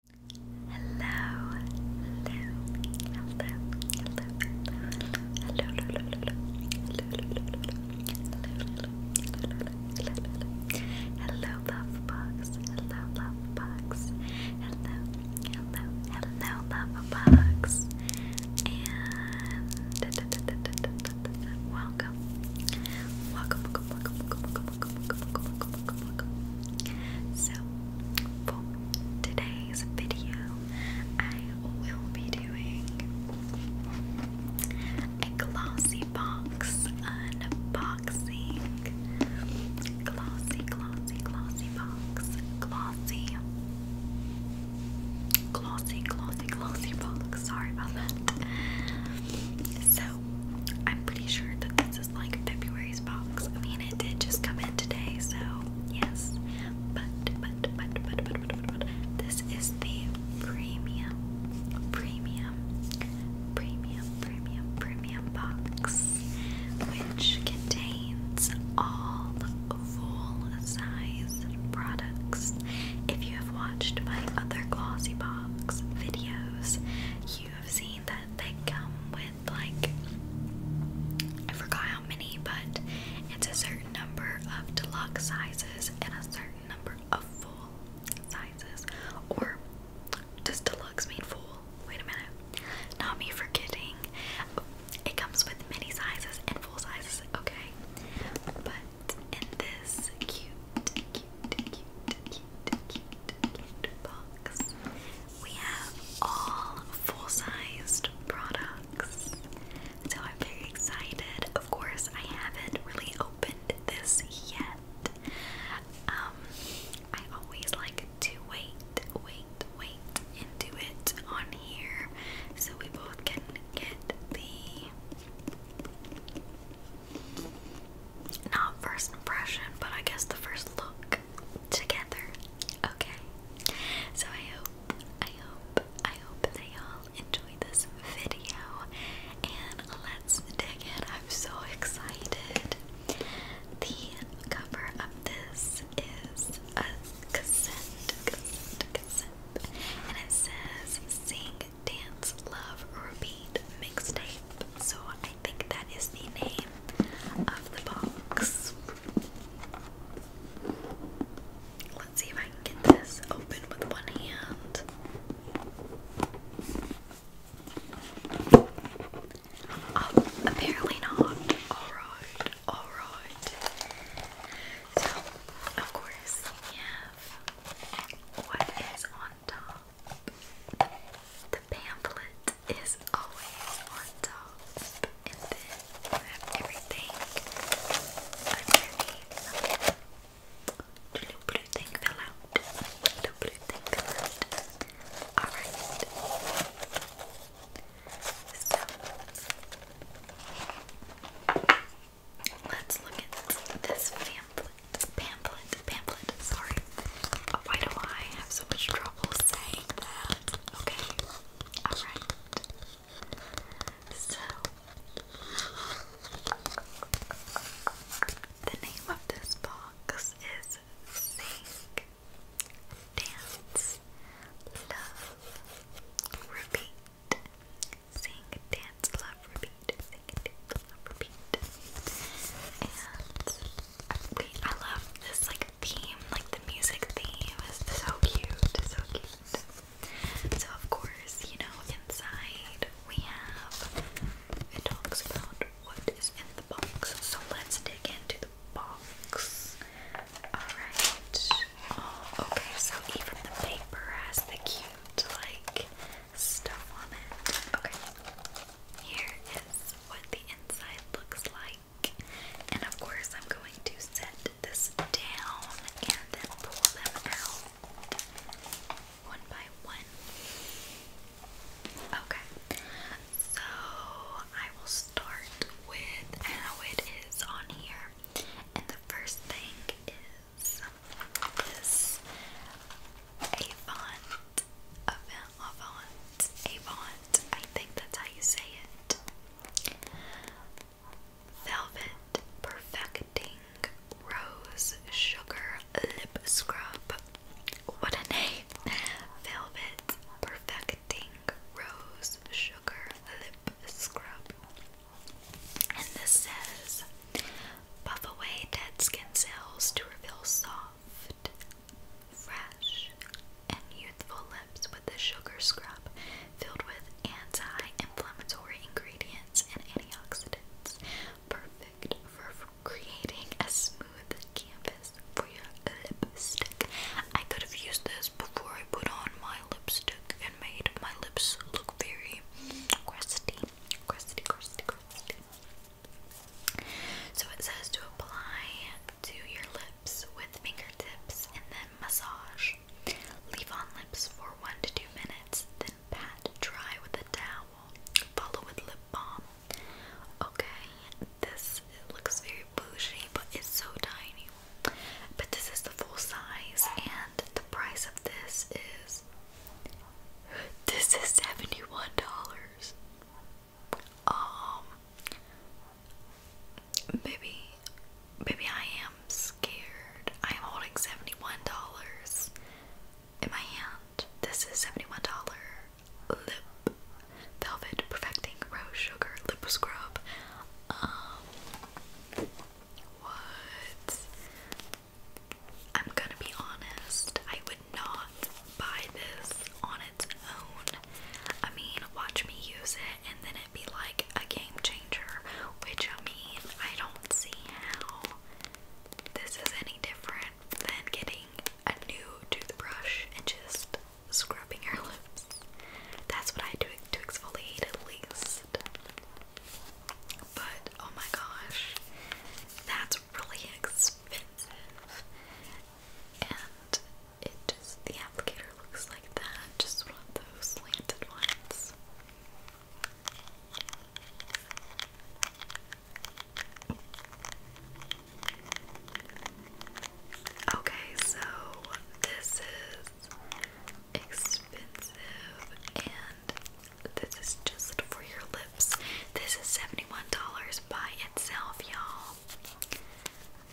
Hello, hello, hello, hello, hello, hello, hello, hello, love box, hello, love box, hello, hello, hello, love box, and welcome, welcome, welcome, welcome, welcome, welcome, so, for today's video, I will be doing a glossy box unboxing. Glossy, glossy, glossy box. Glossy. Glossy, glossy, glossy box. Sorry about that. So, I'm pretty sure that this like February's box. I mean, it did just come in today, so yes. but, but, but, but, but, but, but this is the premium, premium, premium, premium, premium box, which contains all full-size products. If you have watched my other glossy box videos, you have seen that they come with like I forgot how many, but it's a certain number of deluxe sizes and a certain number of full sizes. Or does deluxe mean full? Wait a minute. Not me forgetting. It comes with many sizes and full sizes, okay? But in cute, box. We have all full-sized products. So I'm very excited. Of course, I haven't really opened this yet. Um, I always like to wait, wait, wait, and do it on here so we both can get the not first impression, but I guess the first look together. Okay. So I hope, I hope, I hope that all enjoyed this video. And let's dig in. I'm so excited. The cover of this is a cassette, And it says Sing Dance Love Repeat Mixtape. So I think that is the name of the box. Let's see if I can get this open with one hand. Oh, apparently not. Alright, alright. So, of course, we what is on top. The pamphlet is always on top, and then everything underneath. little blue thing fell out. little blue thing fell out. Alright. let's look at this pamphlet. Pamphlet, pamphlet, sorry. Oh, why do I have so much trouble saying that? Okay, alright. So, the name of this box is Sing, Dance, Love, Repeat. Sing, Dance. Dance Love Repeat. Dance Love Repeat. And we, I love this like theme, like the music theme is so cute, so cute. So of course, you know, inside we have it talks about what is in the box. So let's dig into the box. Alright. Oh, okay, so even the paper has the cute like stuff on it. Okay, here is what the inside looks like. And of course, I'm going to set this down and then pull them out one by one. Okay, so I will start with how it is on here. And the first thing some this Avant I think that's how you say it Velvet Perfecting Rose Sugar Lip Scrub What a name Velvet Perfecting Rose Sugar Lip Scrub and this says Buff away dead skin cells to reveal soft, fresh, and youthful lips with a sugar scrub filled with anti-inflammatory ingredients and antioxidants, perfect for creating a smooth canvas for your lipstick. I could have used this before I put on my lipstick and made my lips look very crusty so it says to apply to your lips with fingertips and then massage. Leave on lips for one to two minutes, then pat dry with a towel. Follow with lip balm. Okay, this looks very bougie, but it's so tiny. But this is the full size, and the price of this is this is $71. Um maybe maybe I am scared. I am holding $71 in my hand. This is $71 lip velvet perfecting rose sugar lip scrub. Um what? I'm gonna be honest, I would not buy this on its own. I mean, watch me use it and then it'd be like a game changer, which I mean, I don't see how this is any different than getting a new toothbrush and just scrubbing your lips. That's what I do to exfoliate at least list. But oh my gosh, that's really expensive. And it just, the applicator looks like that, just one of those slanted ones. Okay, so this is expensive and this is just for your lips. This is $71 by itself, y'all.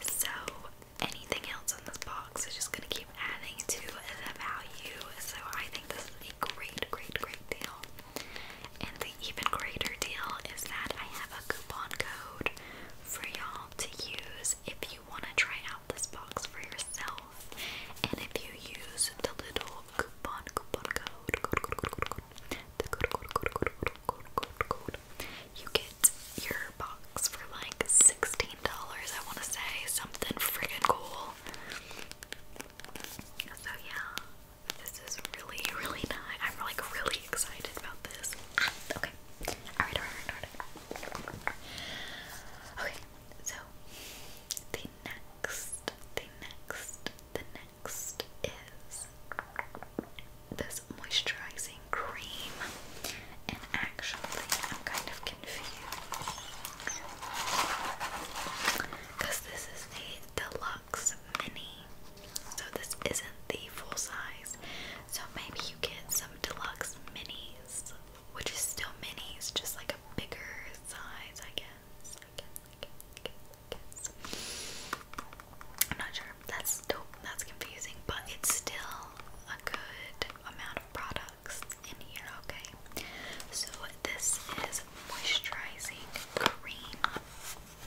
So anything else in this box is just gonna keep adding to the value. So I think this is a great, great, great deal. And the even greater deal is that I have a coupon code for y'all to use if you wanna try out this box for yourself. And if you use the little coupon, coupon code, code, code, code, code, code the code, code, code, code, code, code, code, code, you get your box for like $16, I want to say, something friggin' cool. So yeah, this is really, really nice. I'm like really excited about this. Ah, okay. Alright, alright, alright. Right. Okay, so the next, the next, the next is this moisturizing cream. And actually, I'm kind of confused because this is a deluxe mini. So this isn't the full size. So maybe you get some deluxe minis which is still mini, it's just like a bigger size, I guess. I guess, I guess, I guess, That's dope. That's confusing, but it's still a good amount of products in here, okay? So this is moisturizing cream,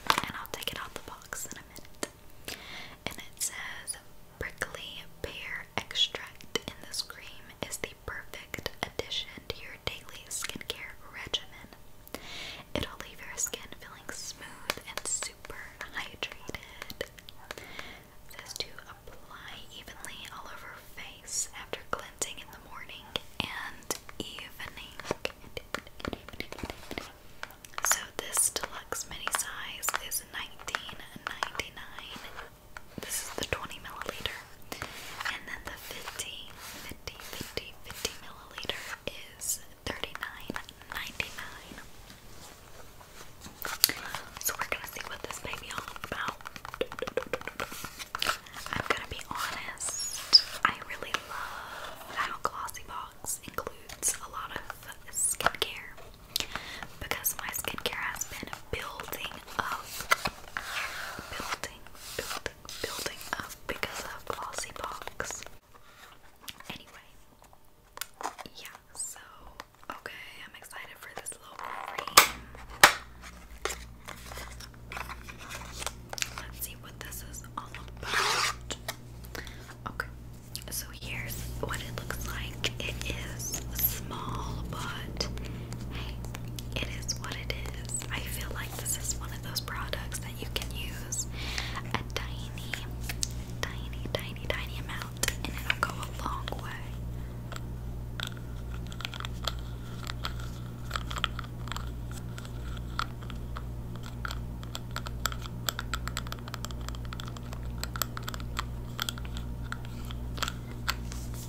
and I'll take it out the box in a minute. And it says prickly pear extract in this cream is the perfect addition to your daily skincare regimen. It'll leave your skin feeling smooth and super hydrated. It to apply evenly all over face after cleansing in the morning and evening. So this deluxe mini size is $19.99 this is the 20 milliliter. And then the 50, milliliter is thirty nine ninety nine. So we're gonna see what this baby all about. I'm gonna be honest, I really love how Glossy Box includes a lot of skincare because my skincare has been building up, building, building, building up because of Glossy Anyway, yeah, so okay, I'm excited for this little cream. Let's see what this is all about. Okay, so here's what it looks like. It is small, but hey, it is what it is. I feel like this is one of those products that you can use a tiny, tiny, tiny, tiny amount, and it'll go a long way.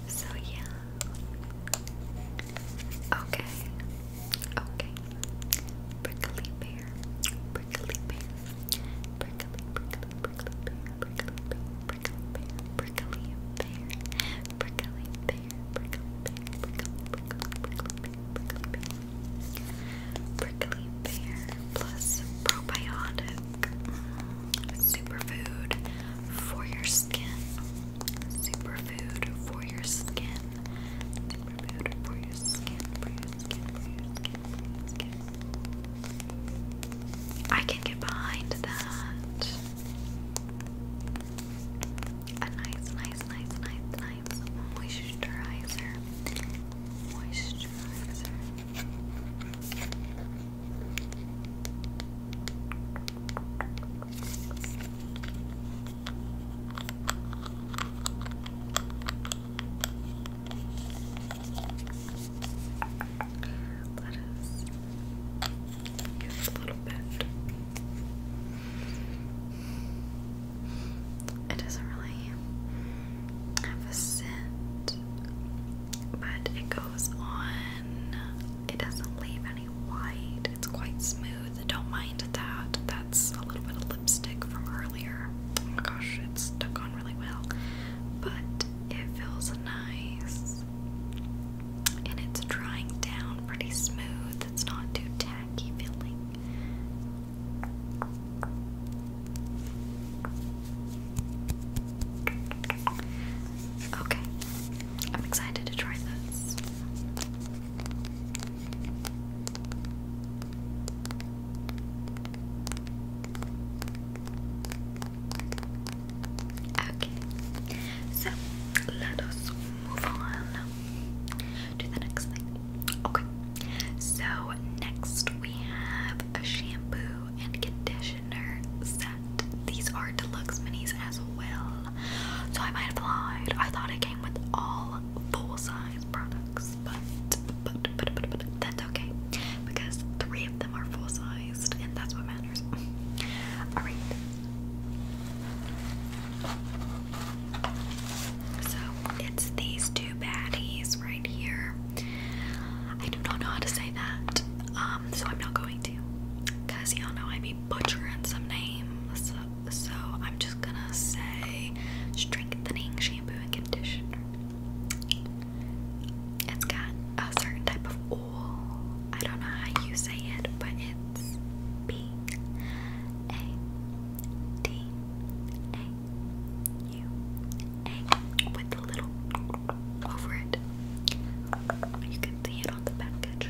So, yeah. Okay. Okay. Prickly bear. Prickly bear. Prickly, prickly, prickly bear. Prickly bear. Prickly bear. Prickly bear. Prickly bear. Plus probiotic. Superfood for your skin. Superfood for your skin. Superfood for your skin. For your skin. For your skin. For your skin. I can get behind that. A nice, nice, nice, nice, nice moisturizer. Moisturizer. Let us a little bit. It doesn't really have a but it goes on. It doesn't leave any white. It's quite smooth. Don't mind that. That's a little bit of lipstick from earlier. Oh my gosh, it's stuck on really well. But it feels nice. And it's drying down pretty smooth. It's not too tacky feeling. Okay, I'm excited to try this. Okay, so let us move on to the next thing. Okay, so next we have a shampoo and conditioner set. These are deluxe minis as well. So I might have lied. I thought it came with all full size products, but, that's okay because three of them are full sized and that's what matters. Alright. So it's these two baddies right here. I do not know how to say that, um, so I'm not going to. Because y'all know I be butchering some names. So I'm just gonna say strengthening shampoo and conditioner. It's got a certain type of oil. I don't know how you say it, but it's B A T A U A with the little over it. You can see it on the package.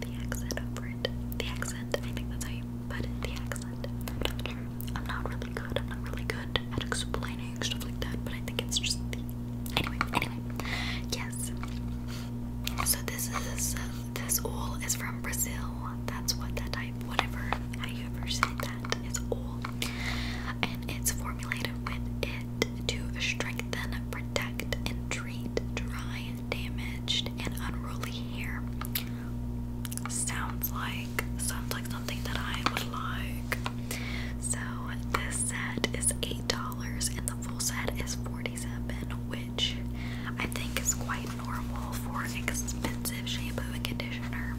The accent over it. The accent. I think that's how The accent. I'm not really good. I'm not really good at explaining stuff like that, but I think it's just the anyway. Anyway, yes. So this is this all is from Brazil. That's what that type, whatever. How you ever say that? that is all. And it's formulated with it to strengthen, protect, and treat dry, damaged, and unruly hair. Sounds like sounds like something that I would like. So this set is eight dollars and the full set is forty-seven, which I think is quite normal for expensive shampoo and conditioner.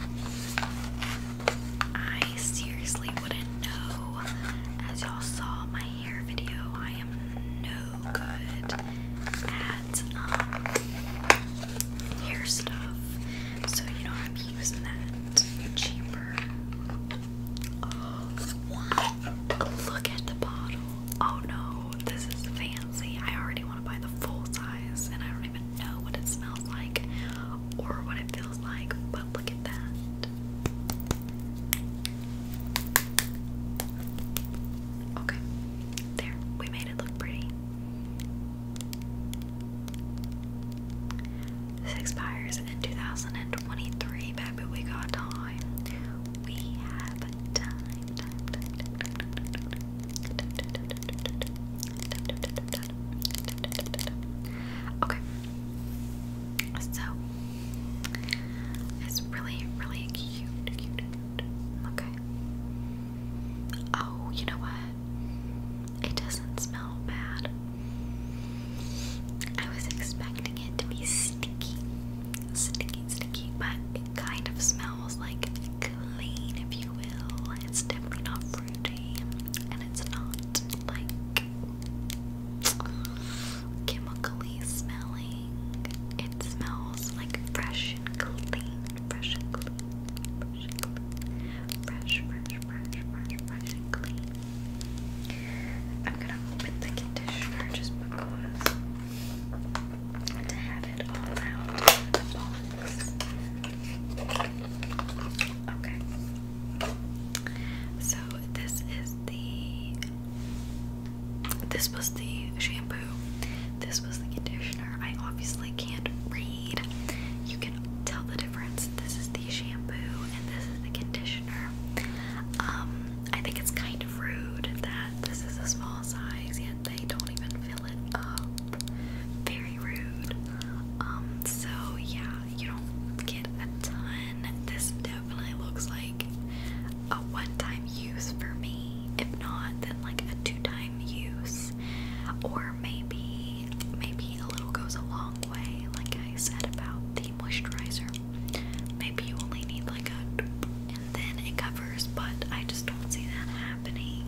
I seriously wouldn't know. As y'all saw my hair video, I am no good at um, hair stuff. So, you know, I'm using that cheaper. Oh, look at the bottle. Oh no, this is fancy. I already want to buy the full size, and I don't even know what it smells like or what it feels like, but look at that. Okay, there, we made it look pretty. expires in 2023, baby. We got time. We have time. Okay. So it's really, really cute, Okay. Oh, you know what? It doesn't smell bad. I was expecting it to be sticky, sticky, sticky, but it kind of smells smells like clean, if you will. It's definitely not fruity, and it's not like chemically smelling. It smells like fresh and clean, fresh and clean, fresh fresh, fresh, fresh, fresh and clean. I'm gonna open the conditioner just because to have it all out of the box. Okay. So this is the this was the shampoo. This was the conditioner. I obviously can't read. You can tell the difference. This is the shampoo and this is the conditioner. Um, I think it's kind of rude that this is a small size, yet they don't even very rude. Um, so yeah, you don't get a ton. This definitely looks like a one-time use for me. If not, then like a two-time use. Or maybe maybe a little goes a long way, like I said about the moisturizer. Maybe you only need like a and then it covers, but I just don't see that happening.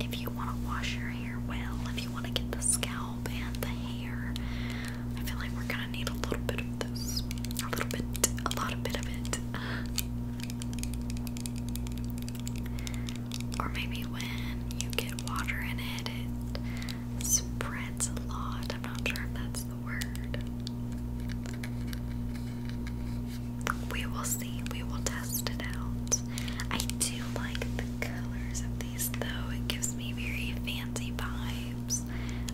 If you want to wash your hair well, if you want to get the scalp and the hair, I feel like we're gonna need a little bit of this. A little bit, a lot of bit of it. Or maybe when you get water in it, it spreads a lot. I'm not sure if that's the word we will see. We will test it out. I do like the colors of these though. It gives me very fancy vibes.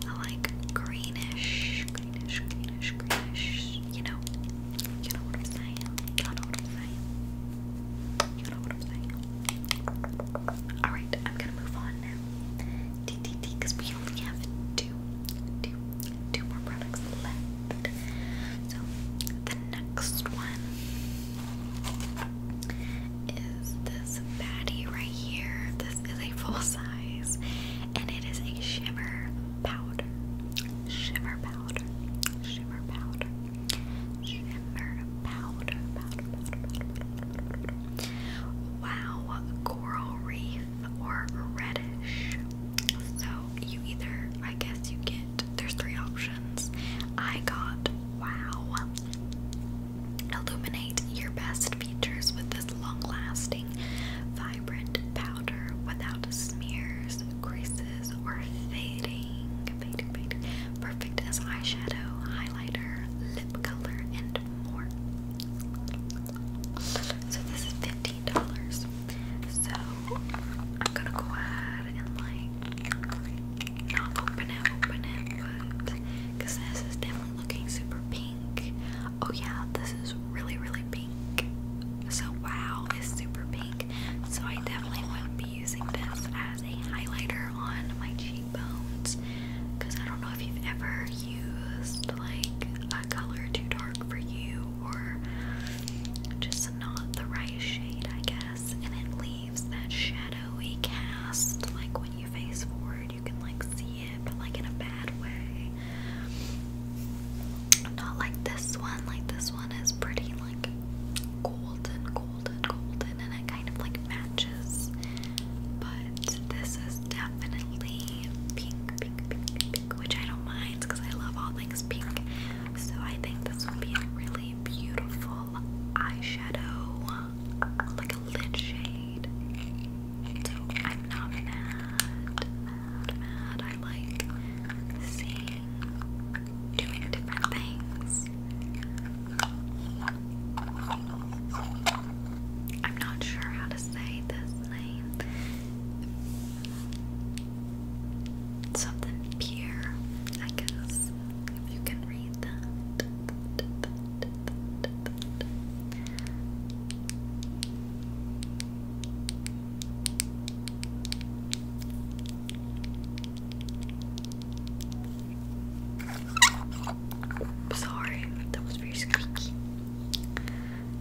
I like greenish, greenish, greenish, greenish. You know, you know what I'm saying. You know what I'm saying. You know what I'm saying. All right, I'm gonna move on now. D D D, because we only have two, two, two more products left. So the next one is this baddie right here. This is a full size and it is a shimmer powder. Shimmer powder. Shimmer powder. Shimmer powder. Wow, coral reef or reddish. So you either, I guess, you get there's three options. I got wow, illuminate your best features with this long lasting, vibrant powder without smears, creases, or fading. Perfect as eyeshadow, highlighter, lip color, and so this is fifteen dollars. So I'm gonna go ahead and like not open it, open it, but because this is definitely looking super pink. Oh yeah, this is really really pink. So wow, it's super pink. So I definitely won't be using this as a highlighter on my cheekbones because I don't know if you've ever used like that color too dark for you or just not the right shade, I guess. And it leaves that shadowy cast, like when you face forward, you can like see it, but like in a bad way. Not like this one, like this one is pretty like golden, golden, golden, and it kind of like matches. But this is definitely pink, pink, pink, pink, which I don't mind because I love all things pink. So I think this would be a really beautiful eyeshadow, like a lid shade. So I'm not mad, mad. I like seeing doing different things. I'm not sure how to say this Something pure, I guess, you can read that. Sorry, that was very squeaky.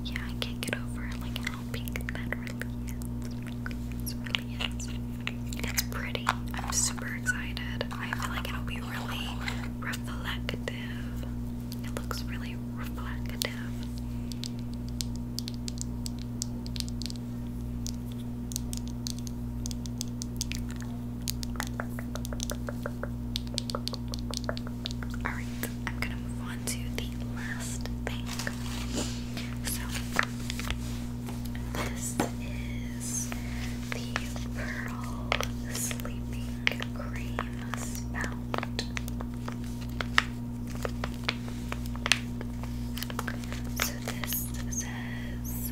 Yeah, I can't get over like how pink that really is. It really is. It's pretty. I'm super excited. I feel like it'll be really reflective. It looks really reflective. Alright, I'm gonna move on to the last thing. So, this is the Pearl Sleeping Cream Spout. So, this says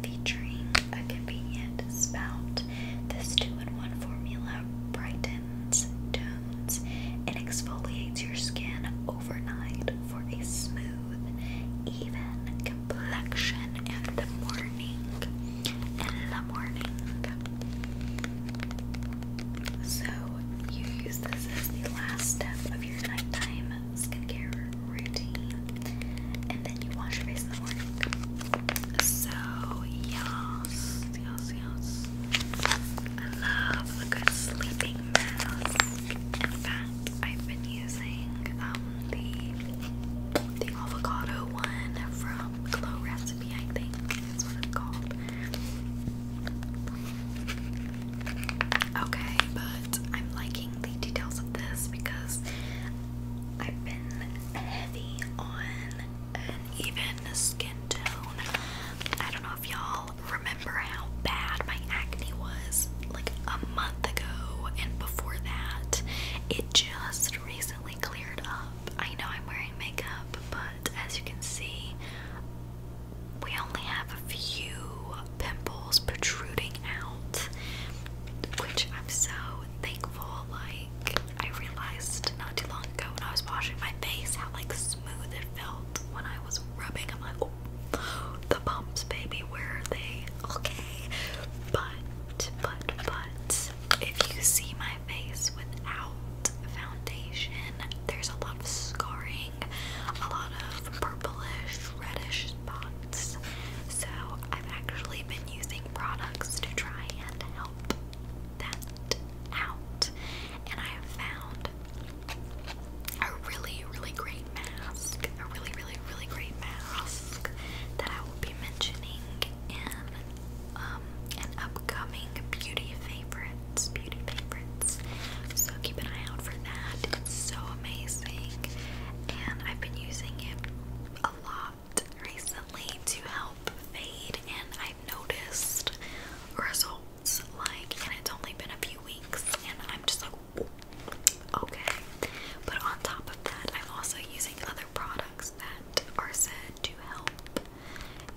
featuring a convenient spout. This two-in-one formula brightens, tones, and exfoliates your skin overnight for a smooth, even complexion in the morning. In the morning. So you use this as the last step of your nighttime skincare routine, and then you wash your face in the morning. So yes, yes, yes. I love a good sleeping mask. In fact, I've been using um, the the avocado one from Glow Recipe, I think is what it's called. Okay, but I'm liking the details of this because I've been heavy on an even skin tone. I don't know if y'all remember how bad my acne was like a month ago, and before that, it just recently cleared up. I know I'm wearing makeup, but as you can see, we only have a few pimples protruding out, which I'm so thankful. Like, I realized not too long ago when I was washing my face how like smooth it felt when I was rubbing. I'm like, oh, the bumps, baby, where are they? Okay, but but but if you see my face without foundation, there's a lot of scarring, a lot of purplish, reddish spots. So I've actually been using products to try and help that out. And I have found a really, really great mask. A really, really, really great mask that I will be mentioning in um, an upcoming beauty favorites. Beauty favorites. So keep an eye out for that. It's so amazing. And I've been using it a lot recently to help fade, and I've noticed results. Like, and it's only been a few weeks, and I'm just like, okay. But on top of that, I'm also using other products that are said to help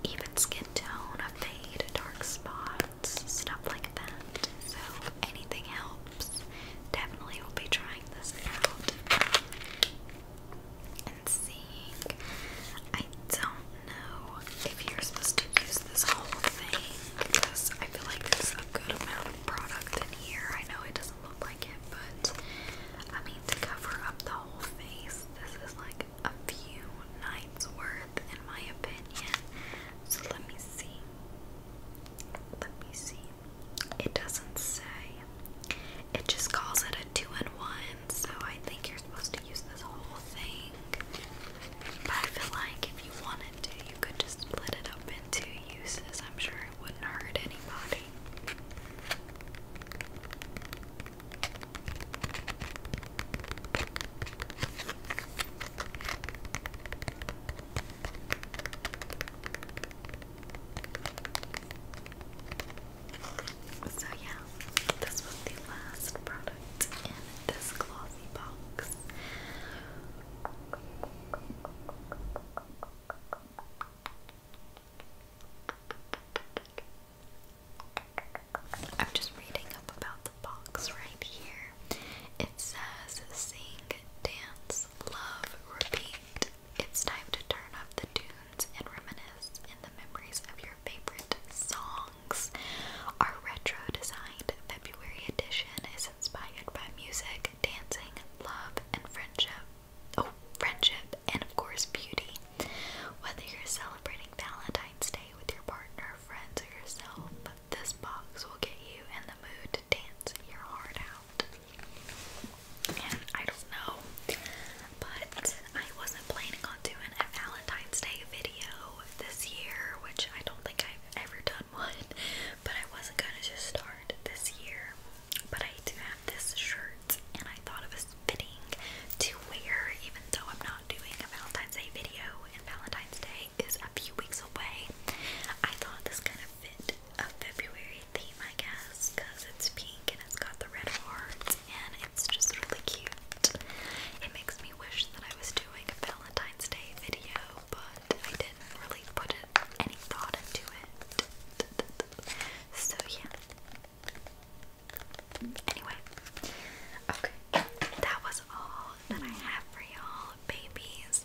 even skin tone, fade, dark spots, stuff like that. So anything help? Definitely will be trying this out and seeing. I don't know if you're supposed to use this whole thing I feel like there's a good amount of product in here. I know it doesn't look like it, but I mean, to cover up the whole face, this is like a few nights worth, in my opinion. So let me see. Let me see. It doesn't say. It just calls it a two in one, so I think you're supposed to use this whole thing. But I feel like if you wanted to, you could just split it up in uses. I'm sure it wouldn't hurt anybody. So yeah, this was the last product in this glossy box. I'm just reading up about the box right here. It says sing, dance, Love Repeat. It's time to turn up the tunes and reminisce in the memories of your favorite songs. Our retro designed February edition is inspired by music, dancing, love, and friendship. Oh, friendship, and of course, beauty. Whether you're celebrating Valentine's Day with your partner, friends, or yourself, this box will get you in the mood to dance your heart out. I don't know, but I wasn't planning on doing a Valentine's Day video this year, which I don't think I've ever done one, but I wasn't gonna just start this year. But I do have this shirt, and I thought it was fitting to wear, even though I'm not doing a Valentine's Day video in Valentine's Day is a few weeks away. I thought this kind of fit a February theme, I guess, because it's pink and it's got the red hearts and it's just really cute. It makes me wish that I was doing a Valentine's Day video, but I didn't really put it, any thought into it. So, yeah. Anyway, okay, that was all that I have for y'all, babies.